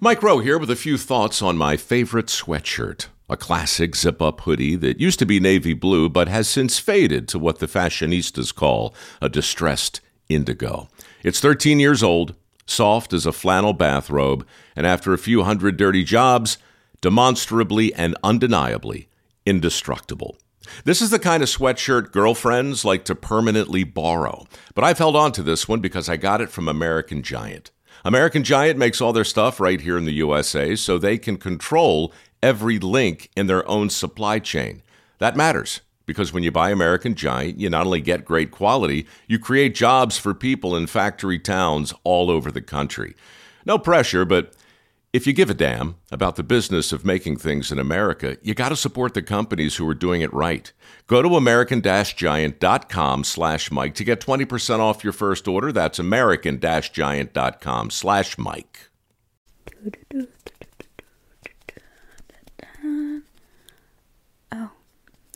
Mike Rowe here with a few thoughts on my favorite sweatshirt, a classic zip up hoodie that used to be navy blue but has since faded to what the fashionistas call a distressed indigo. It's 13 years old, soft as a flannel bathrobe, and after a few hundred dirty jobs, demonstrably and undeniably indestructible. This is the kind of sweatshirt girlfriends like to permanently borrow. But I've held on to this one because I got it from American Giant. American Giant makes all their stuff right here in the USA so they can control every link in their own supply chain. That matters because when you buy American Giant, you not only get great quality, you create jobs for people in factory towns all over the country. No pressure, but if you give a damn about the business of making things in America, you got to support the companies who are doing it right. Go to american-giant.com slash Mike to get 20% off your first order. That's american-giant.com slash Mike. Oh,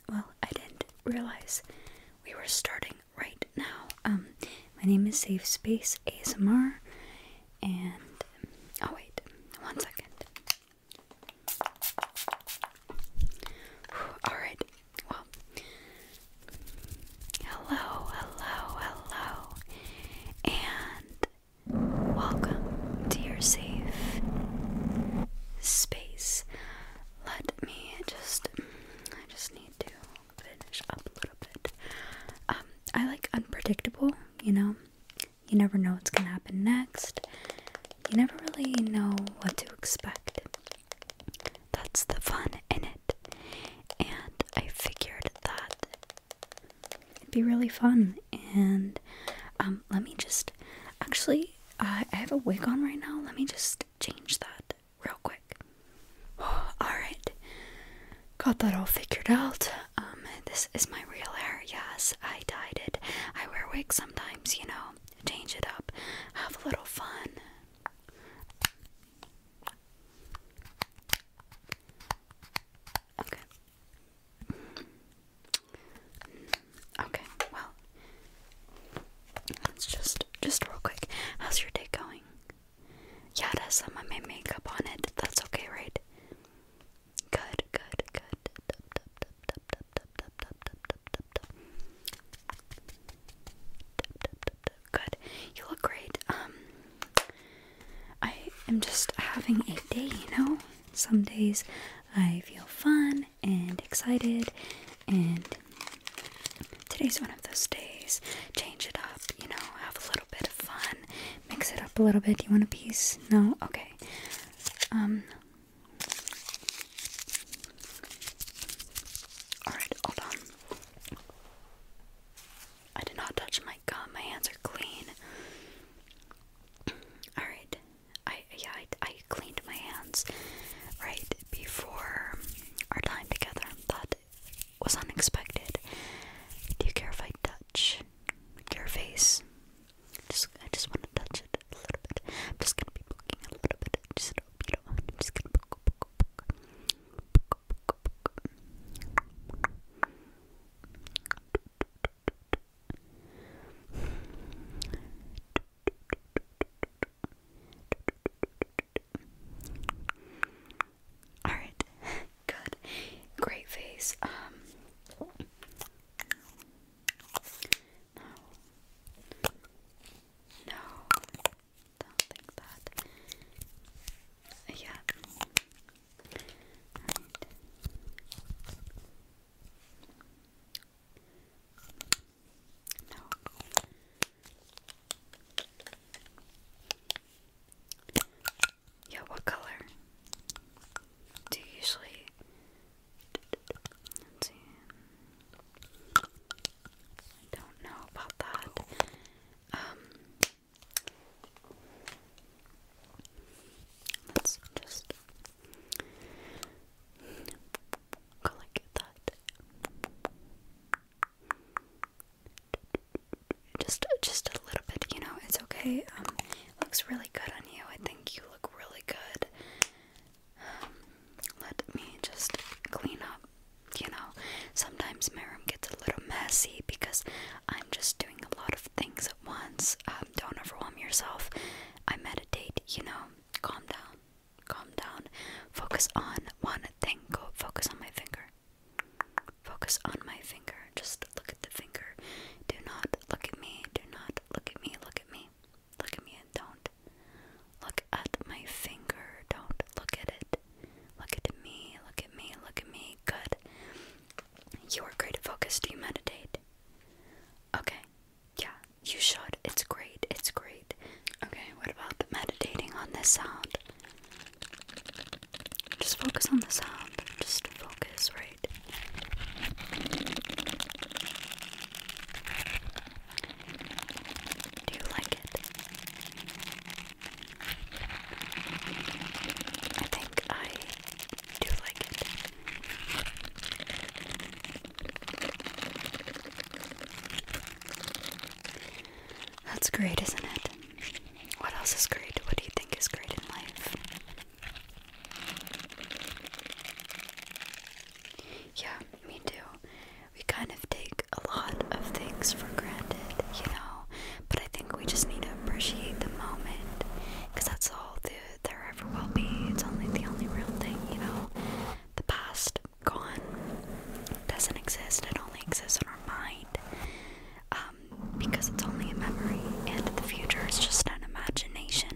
well, I didn't realize we were starting right now. Um, my name is Safe Space ASMR, and, oh wait, one second. Alright, well. Hello, hello, hello. And welcome to your safe space. Let me just. I just need to finish up a little bit. Um, I like unpredictable, you know? You never know what's going to happen next. You never really know what to expect. That's the fun in it. And I figured that it'd be really fun. And um, let me just actually, uh, I have a wig on right now. Let me just change that real quick. Alright, got that all figured out. Um, this is my real hair. Yes, I dyed it. I wear wigs sometimes, you know. Change it up. Have a little fun. Okay. Okay, well. Let's just just real quick. How's your day going? Yeah, it has some of my makeup on it. That's okay, right? Good, good, good. Good. You look great. Um I am just having a day, you know? Some days I feel fun and excited and today's one of those days. Change it up, you know, have a little bit of fun. Mix it up a little bit. Do You want a piece? No? Okay. Um Alright, hold on. I did not touch my gum. My hands are clean. Alright. I yeah, I, I cleaned my hands right before our time together. That was unexpected. Do you care if I touch your face? Just, I just want to touch it a little bit. I'm just gonna be poking a little bit. Just a little bit. I'm just gonna poke, poke, poke, poke, poke, poke. All right, good, great face. Um, no. No. Don't think that. Yeah. Right. No. Yeah, what color? Do you usually I don't know about that. Um, let's just collect that. Just, just a little bit, you know. It's okay. Um, looks really good on you. I think you look really good. Um, let me just clean up. You know, sometimes my room gets a little messy because I'm just doing a lot of things at once. Um, don't overwhelm yourself. I meditate, you know, calm down, calm down. Focus on one thing. Go focus on my finger. Focus on my finger. Just look at the finger. Do not look at me. Do not look at me. Look at me. Look at me and don't. Look at my finger. Don't look at it. Look at me. Look at me. Look at me. Good. You are great at focus. Do you meditate? Okay. Yeah, you should. It's great. It's great. Okay, what about meditating on this sound? Just focus on the sound. Just focus right do you like it? I think I do like it. That's great, isn't it? What else is great? What do you think is great in life? Yeah, me too. We kind of take a lot of things for granted, you know, but I think we just need to appreciate the moment because that's all the, there ever will be. It's only the only real thing, you know. The past, gone, doesn't exist, it only exists in our mind. Um, because it's only a memory, and the future is just an imagination.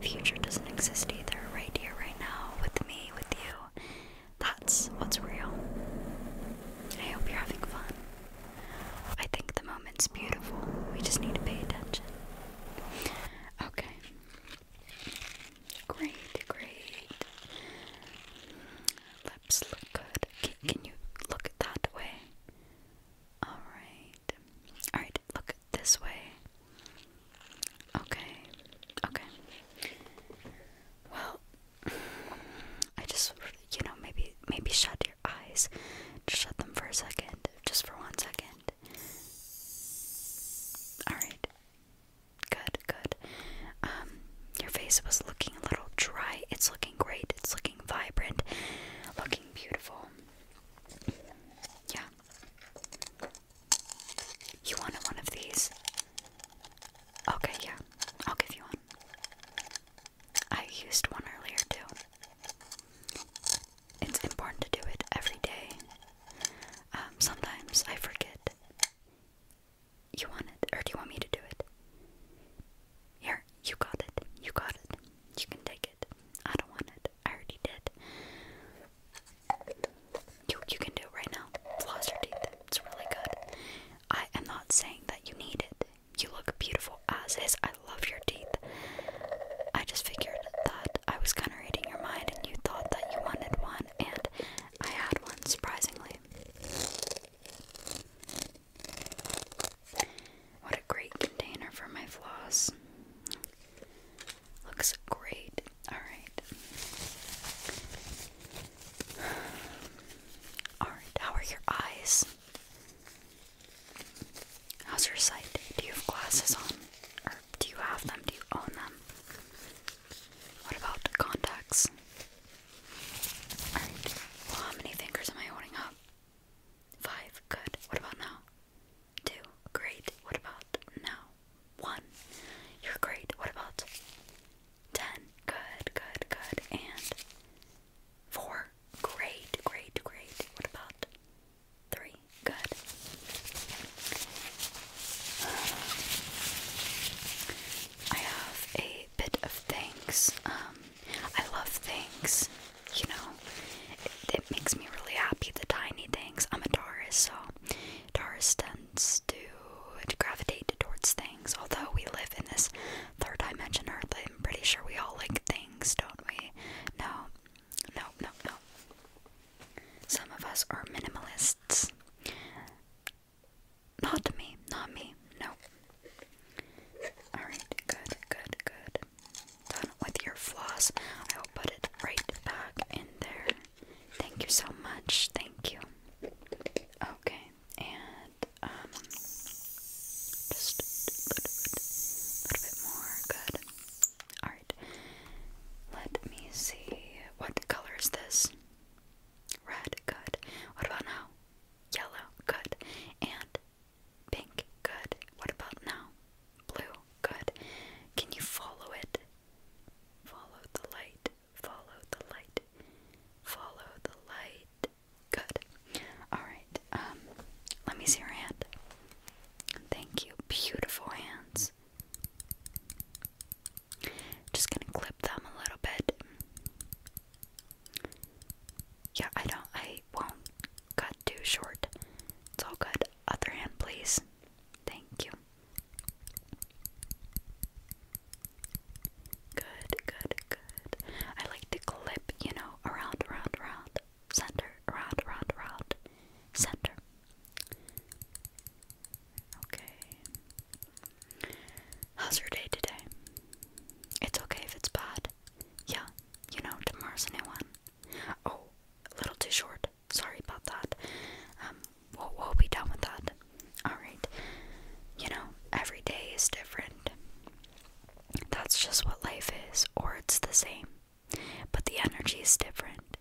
Future doesn't exist either. Right here, right now, with me, with you. That's what's real. I hope you're having fun. I think the moment's beautiful. We just need to pay attention. Okay. Great, great. Lips look good. can you look that way? Alright. Alright, look this way. Okay. Okay. Well, I just, you know, maybe, maybe shut your eyes. Just shut them for a second. Just for one second. Alright. Good, good. Um, your face was looking a little dry. It's looking great. It's looking vibrant. Looking beautiful. Yeah. You wanted one of these? Okay, yeah. I'll give you one. I used one earlier too. It's important to do it every day. Um, sometimes I forget. You want it, or do you want me to do it? Here, you got it. You got it. You can take it. I don't want it. I already did. You you can do it right now. Floss your teeth. It's really good. I am not saying that you need it. You look beautiful as is. I love your teeth. I just figured that I was kind of reading your mind and you thought that you wanted one, and I had one, surprisingly. What a great container for my floss. Looks great. Alright. Alright, how are your eyes? How's your sight? Do you have glasses on? Or do you have them? Do you own them? What about contacts? Alright, well, how many fingers am I holding up? Five. Good. What about now? Two. Great. What about now? One. You're great. What about ten? Good, good, good. And four. Great, great, great. What about three? Good. I have a bit of things. Um, I love things, you know. It, makes me really happy, the tiny things. I'm a Taurus, so Taurus tends to, to gravitate towards things. Although we live in this third dimension Earth, I'm pretty sure we all like things, don't we? No, no, no, no. Some of us are minimalists. Not me, not me, no, Alright, good, good, good. Done with your floss. I will put it right back in there. Thank you so much. Thank you. Okay, and um just a little bit more. Good. Alright. Let me see. What color is this? Red, good. What about now? Yellow, good. And Pink, good. What about now? Blue, good. Can you follow it? Follow the light, follow the light, follow the light. Good. Alright, um, let me see your hand. Thank you. Beautiful hands. Just gonna clip them a little bit. Yeah, I don't, I won't cut too short. It's all good. Other hand, please. Thank you. Good, good, good. I like to clip, you know, around, around, around, center, around, around, around, center. Okay. How's your day today? It's okay if it's bad. Yeah, you know, tomorrow's a new one. Oh, a little too short. Sorry about that. Um, we'll, be done with that. Alright. You know, every day is different. That's just what life is, or it's the same. But the energy is different.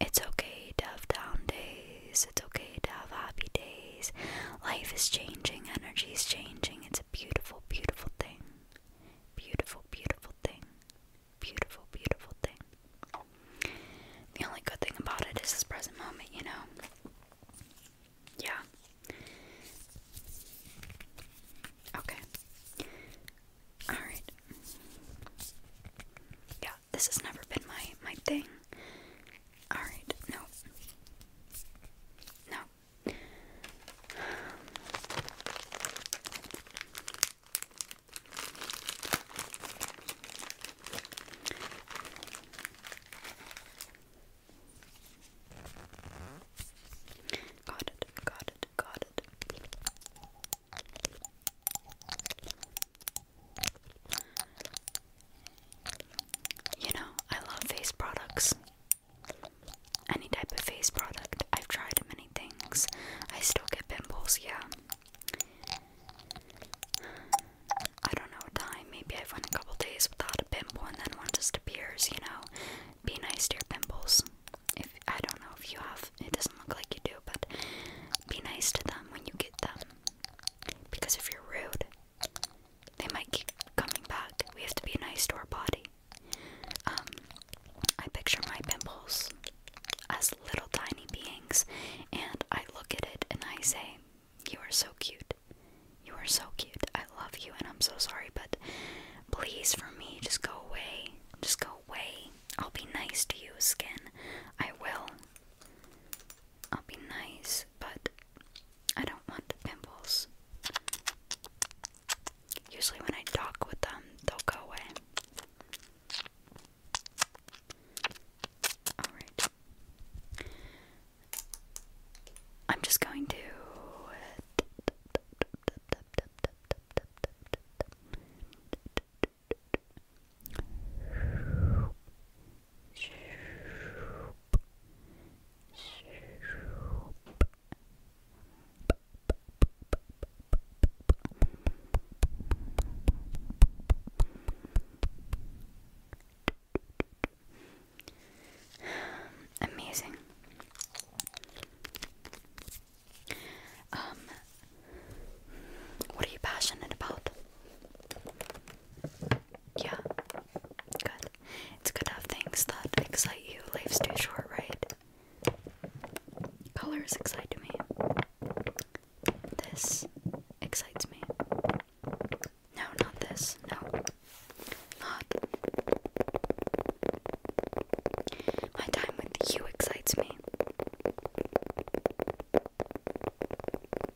It's okay to have down days, it's okay to have happy days days. Life is changing, energy is changing. It's a beautiful, beautiful thing. Beautiful, beautiful thing. Beautiful, beautiful thing. The only good thing about it is this present moment, you know? Yeah. Okay. Alright. Yeah, this has never been my my thing. Alright, no. No. Got it, got it, got it. You know, I love face products. Any type of face product. I've tried many things. I still get pimples, yeah. I don't know time. Maybe I've went a couple days without a pimple and then one just appears, you know. Be nice to your pimples. If I don't know if you have it doesn't look like you do, but be nice to them when you get them. Because if you're rude, they might keep coming back. We have to be nice to our body. Um, I picture my pimples as little tiny beings, and I look at it and I say, You are so cute. You are so cute. I love you, and I'm so sorry, but please, for me, just go away. Just go away. I'll be nice to you, skin. I will. I'll be nice, but I don't want pimples. Usually, when I talk with them, they'll go away. Alright. I'm just going to. Amazing. Um, what are you passionate about? Yeah. Good. It's good to have things that excite you. Life's too short, right? Colors excite me. This excites me. No, not this. No. Not. My time with you excites me.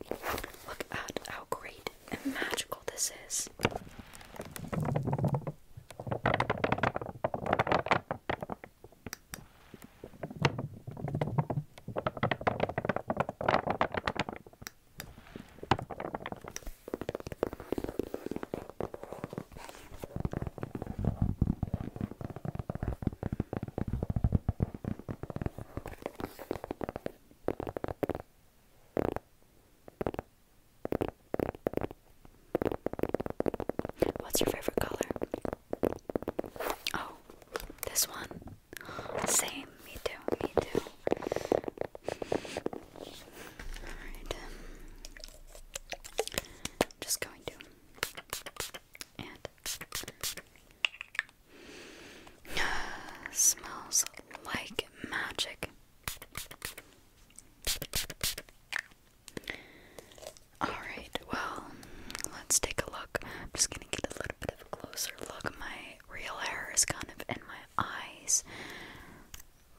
Look at how great and magical this is. What's your favorite color? Oh, this one. Same. Me too. Me too. Alright. Um, just going to. And. Smells like magic. Alright, well, let's take a look. I'm just gonna get a little bit of a closer look. My real hair is kind of in my eyes.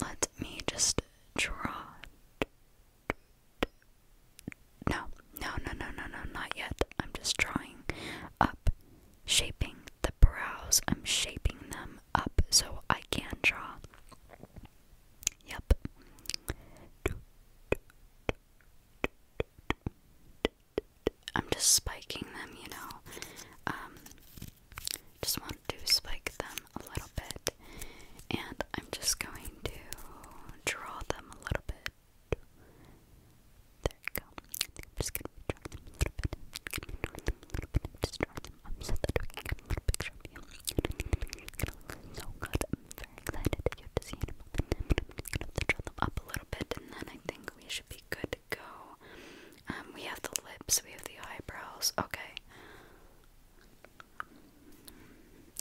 Let me just draw. No, no, no, no, no, no, not yet. I'm just drawing up shaping the brows. I'm shaping them up so I can draw. Yep. I'm just spiking them, you know. Um, just want to spike them a little bit, and I'm just going to draw them a little bit. There we go. I am just gonna be them a a little bit. Just draw them up a little picture so good. very excited to get to see it. just draw them up a little bit, and then I think we should be good to go. Um, we have the lips, we have the eyebrows. Okay.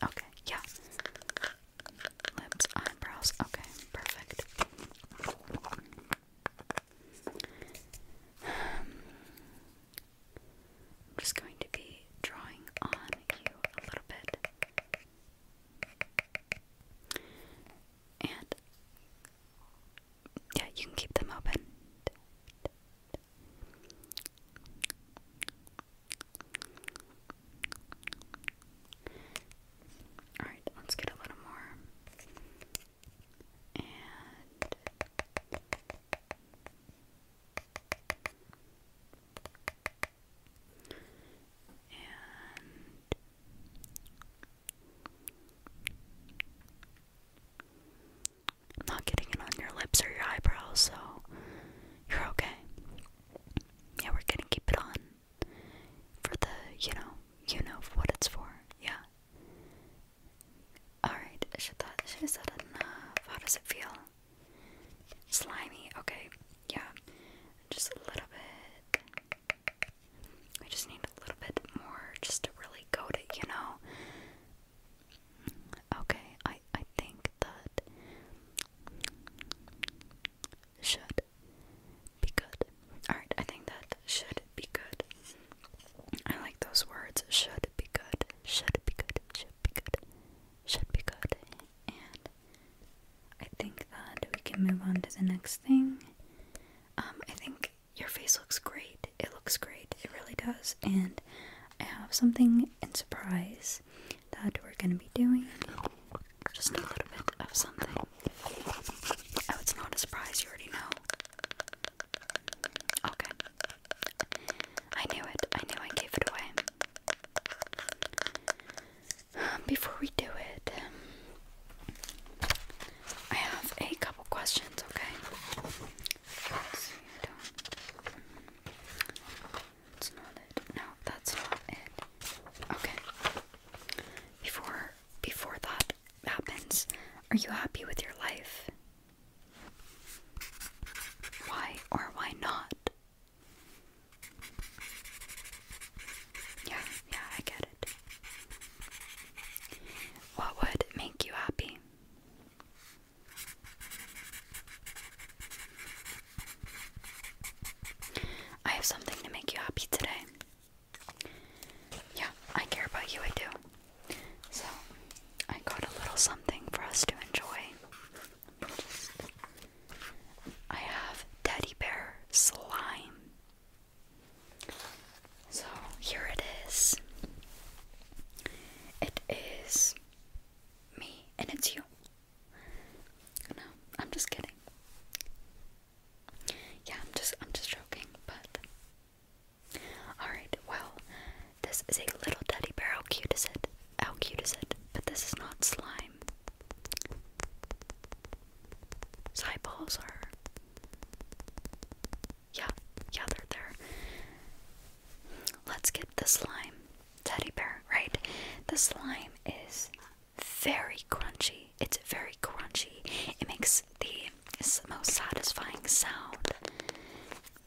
Okay. Yeah lips, eyebrows. Okay, perfect. I'm just going to be drawing on you a little bit. And yeah, you can keep them open. Alright, let's get a little more. And and I'm not getting it on your lips or your eyebrows, so you're okay. Yeah, we're gonna keep it on. For the, you know, you know what it's for, yeah. Alright, should that, should said enough? How does it feel? Slimy, okay, yeah. Just a little bit. We just need a little bit more just to really coat it, you know? Okay, I, I think that should be good. Alright, I think that should be good. I like those words. Should be good. Should be good. Should be good. Should be good. And I think that we can move on to the next thing. Um, I think your face looks great. It looks great. It really does. And I have something in surprise that we're going to be doing. Just a little bit of something Oh, it's not a surprise, you already know. Okay. I knew it. I knew I gave it away. Um, before we do it, I have a couple questions, okay? No, that's not it. Okay. Before before that happens, are you happy with your life? Why or why not? Yeah, yeah, I get it. What would make you happy? I have something to make you happy today. Yeah, I care about you, I do. So, I got a little something for us to enjoy. I have teddy bear slime. So, here it is. It is me and it's you. No, I'm just kidding. Yeah, I'm just I'm just joking, but Alright, well, this is a little teddy bear. How cute is it? How cute is it? But this is not slime. His eyeballs are Yeah, yeah, they're there. Let's get the slime teddy bear, right? The slime is very crunchy. It's very crunchy. It makes the most satisfying sound.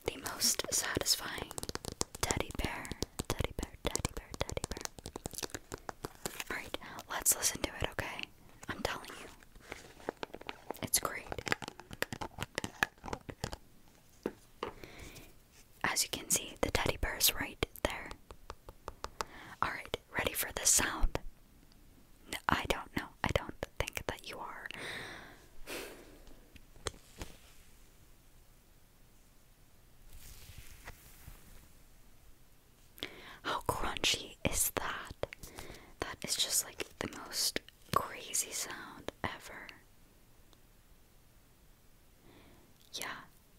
The most satisfying teddy bear. Teddy bear, teddy bear, teddy bear. Alright, let's listen to it, okay? I'm telling you. It's great. As you can see, the teddy bear is right there. Alright, ready for the sound? I don't know. I don't think that you are. How crunchy is that? That is just like the most crazy sound ever. Yeah,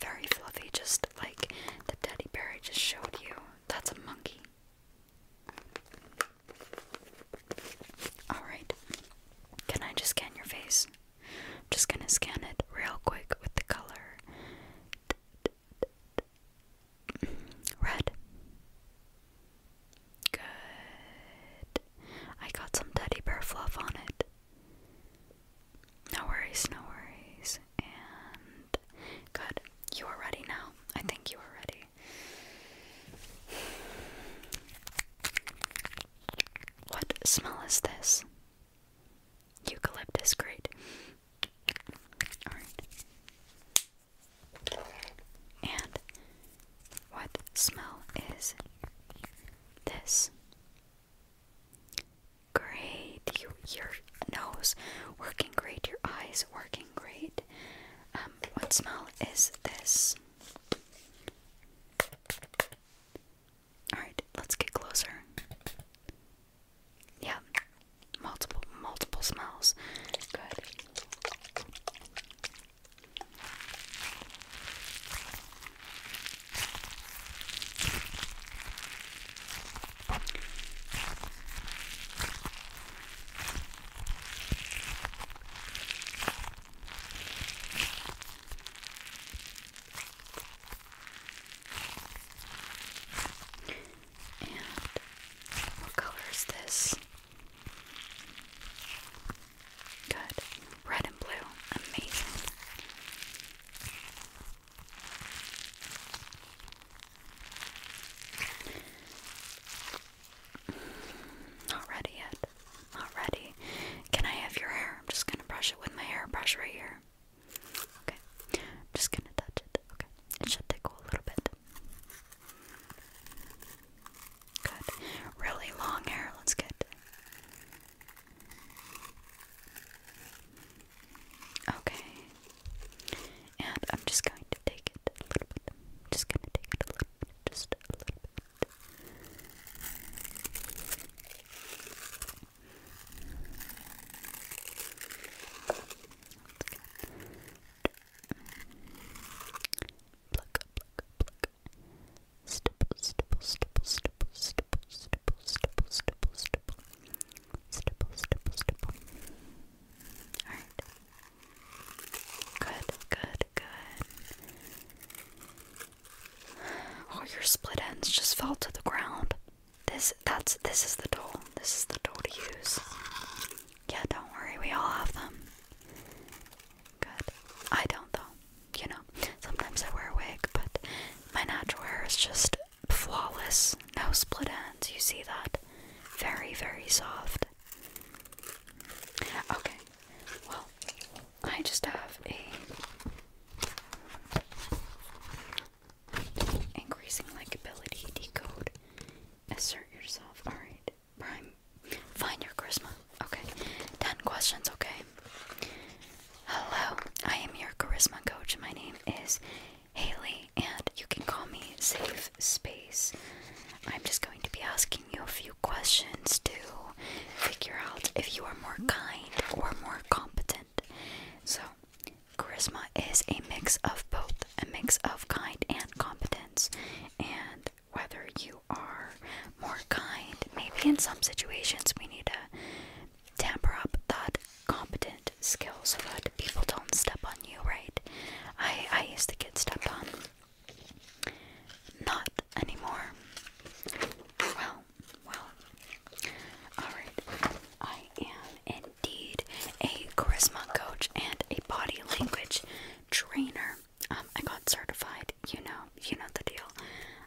Very fluffy, just like the teddy bear I just showed you. That's a monkey. Alright. Can I just scan your face? just gonna scan it real quick with the color red. Good. I got some teddy bear fluff on it. No worries, no worries. And good. You are ready now. I think you are ready. What smell is this? Eucalyptus, great. Alright. And what smell is this? Great. You, your nose working great. Your eyes working great. Um, what smell is this? Alright, let's get closer. Yeah, multiple, multiple smells. Good. And what color is this? Good. Red and blue. Amazing. Not ready yet. Not ready. Can I have your hair? I'm just gonna brush it with my hairbrush right here. Okay. I'm just gonna touch it. Okay. It should tickle a little bit. Good. Really long hair. Let's get Okay. And I'm just going to take it a little bit. just going to take it a little bit. Just a little bit. Pluck, pluck, pluck, stipple, stipple, stipple, stipple, stipple, stipple, stipple, stipple, stipple, stipple, stipple, stipple. All right. Good, good, good. Oh, your split ends just fell to the ground. This, that's, this is the tool. This is the tool to use. Yeah, don't worry. We all have them. Good. I don't though. You know, sometimes I wear a wig, but my natural hair is just flawless. No split ends. You see that? Very, very soft. Okay. Well, I just have a increasing likability decode. Assert yourself. Alright. Prime Find your charisma. Okay. Ten questions, okay? Hello, I am your charisma coach. My name is Haley, and you can call me Safe Space. I'm just going to be asking you a few questions to figure out if you are more kind or more competent. So, charisma is a mix of both a mix of kind and competence, and whether you are more kind. Maybe in some situations we need to tamper up that competent skills so that people don't step on you, right? I, I used to get stepped on. Not anymore. Well, well. Alright. I am indeed a charisma coach and a body language trainer. Um, I got certified, you know, you know the deal.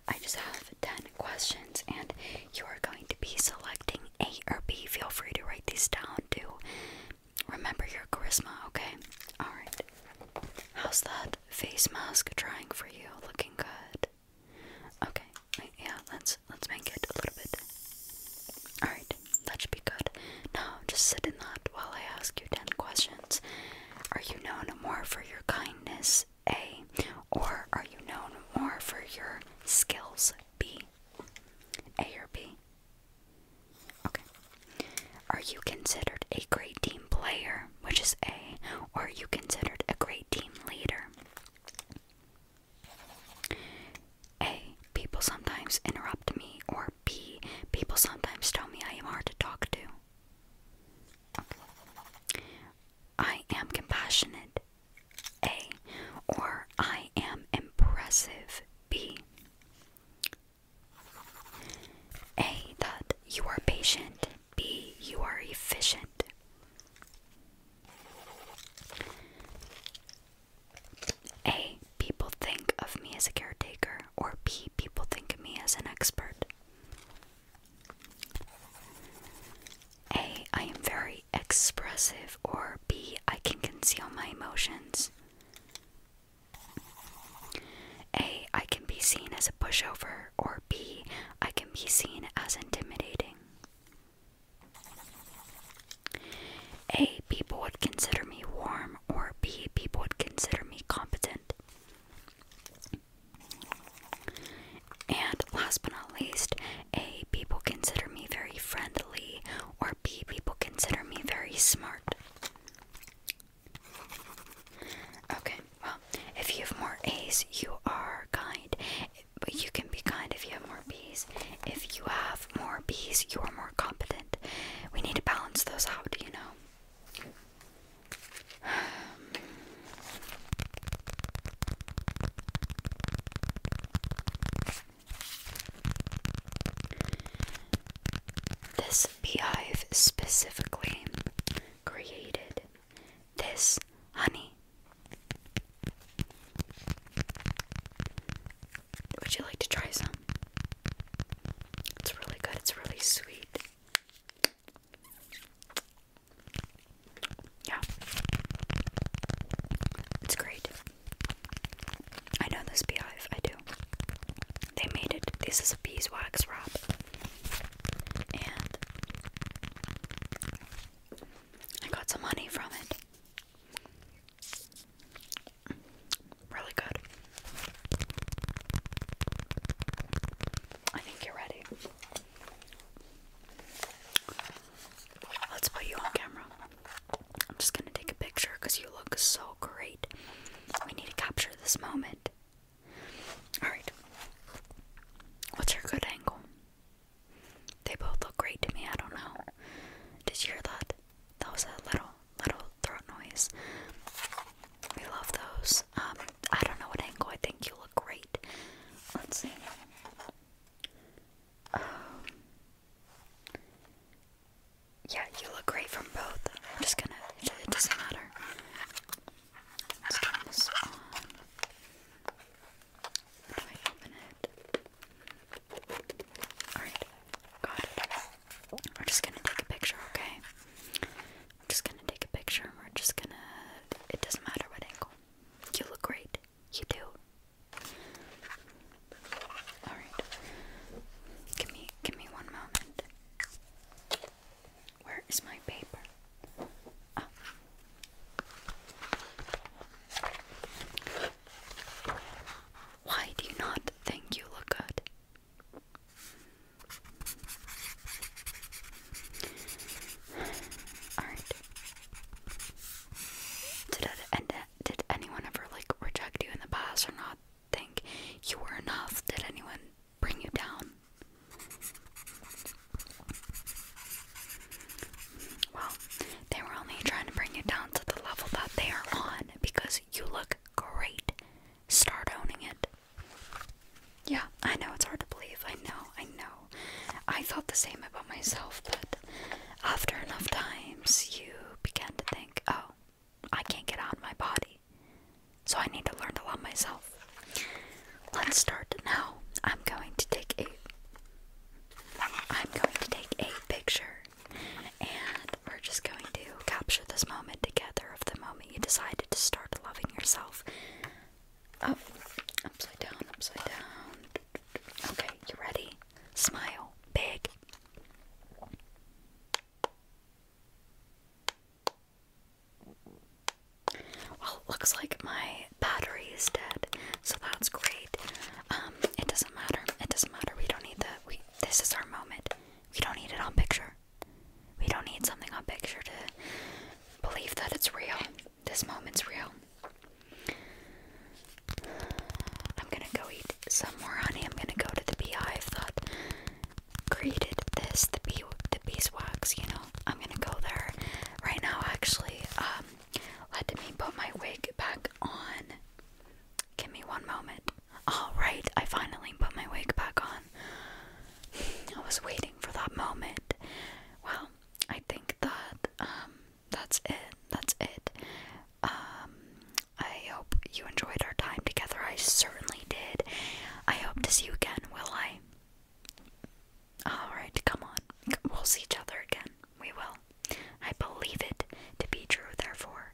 I just have 10 questions, and you are going to be selecting A or B. Feel free to write these down Do remember your charisma, okay? Alright. How's that face mask trying for you? Looking good. Okay, yeah, let's let's make it a little bit. Alright, that should be good. Now just sit in that while I ask you ten questions. Are you known more for your kindness? A. Or are you known more for your skills? B. A or B? Okay. Are you considered a great team player, which is A, or are you considered a great team leader? A. People sometimes interrupt me, or B. People sometimes tell me I am hard to talk to. I am compassionate. A. Or I am impressive. B. A. That you are patient. B. You are efficient. A. People think of me as a caretaker. Or B. People think of me as an expert. A. I am very expressive, or B. I can conceal my emotions. A. I can be seen as a pushover, or B. I can be seen as intimidating. A. People would consider me warm, or B. People would consider me competent. And last but not least, A, people consider me very friendly, or B, people consider me very smart. Okay, well, if you have more A's, you are kind. But you can be kind if you have more B's. If you have more B's, you are more competent. We need to balance those out, you know? This beehive specifically created this honey. Would you like to try some? It's really good, it's really sweet. Yeah. It's great. I know this beehive, I do. They made it. This is a beeswax wrap. And I got some money from it. Really good. I think you're ready. Let's put you on camera. I'm just gonna take a picture because you look so great. We need to capture this moment. Alright. What's your good angle? They both look great to me, I don't know. Did you hear that? That was a little little throat noise. We love those. Um, I don't know what angle. I think you look great. Let's see. Um, yeah, you look great from both. I'm just gonna. It doesn't matter. Let's turn this on. do I open it? Alright, got it. We're just gonna take a picture, okay? We're just gonna take a picture we're just gonna. It doesn't matter what angle. You look great. You do. Alright. Give me give me one moment. Where is my paper? Ah. Why do you not think you look good? and did anyone ever like reject you in the past or not think you were enough? Did anyone bring you down? Well, they were only trying to bring you down to the level that they are on because you look great start owning it. Yeah, I know it's hard to believe. I know, I know. I thought the same about myself, but after enough times, you begin to think, oh, I can't get out of my body. So I need to learn to love myself. Let's start now. I'm going to take a I'm going to take a picture and we're just going to capture this moment together of the moment you decided to start loving yourself. Up, oh, upside down, upside down. Okay, you ready? Smile big. Well, looks like my battery is dead, so that's great. Um, it doesn't matter. It doesn't matter. We don't need that. We this is our moment. We don't need it on picture. We don't need something on picture to believe that it's real. This moment's real. I'm gonna go eat some more honey. I'm gonna go to the beehive that created this, the bee, the beeswax. You know, I'm gonna go there right now. Actually, um, let me put my wig back on. Give me one moment. Alright, I finally put my wig back on. I was waiting for that moment. Well, I think that um that's it. That's it. Um I hope you enjoyed our time together. I certainly did. I hope to see you again, will I? Alright, come on. We'll see each other again. We will. I believe it to be true, therefore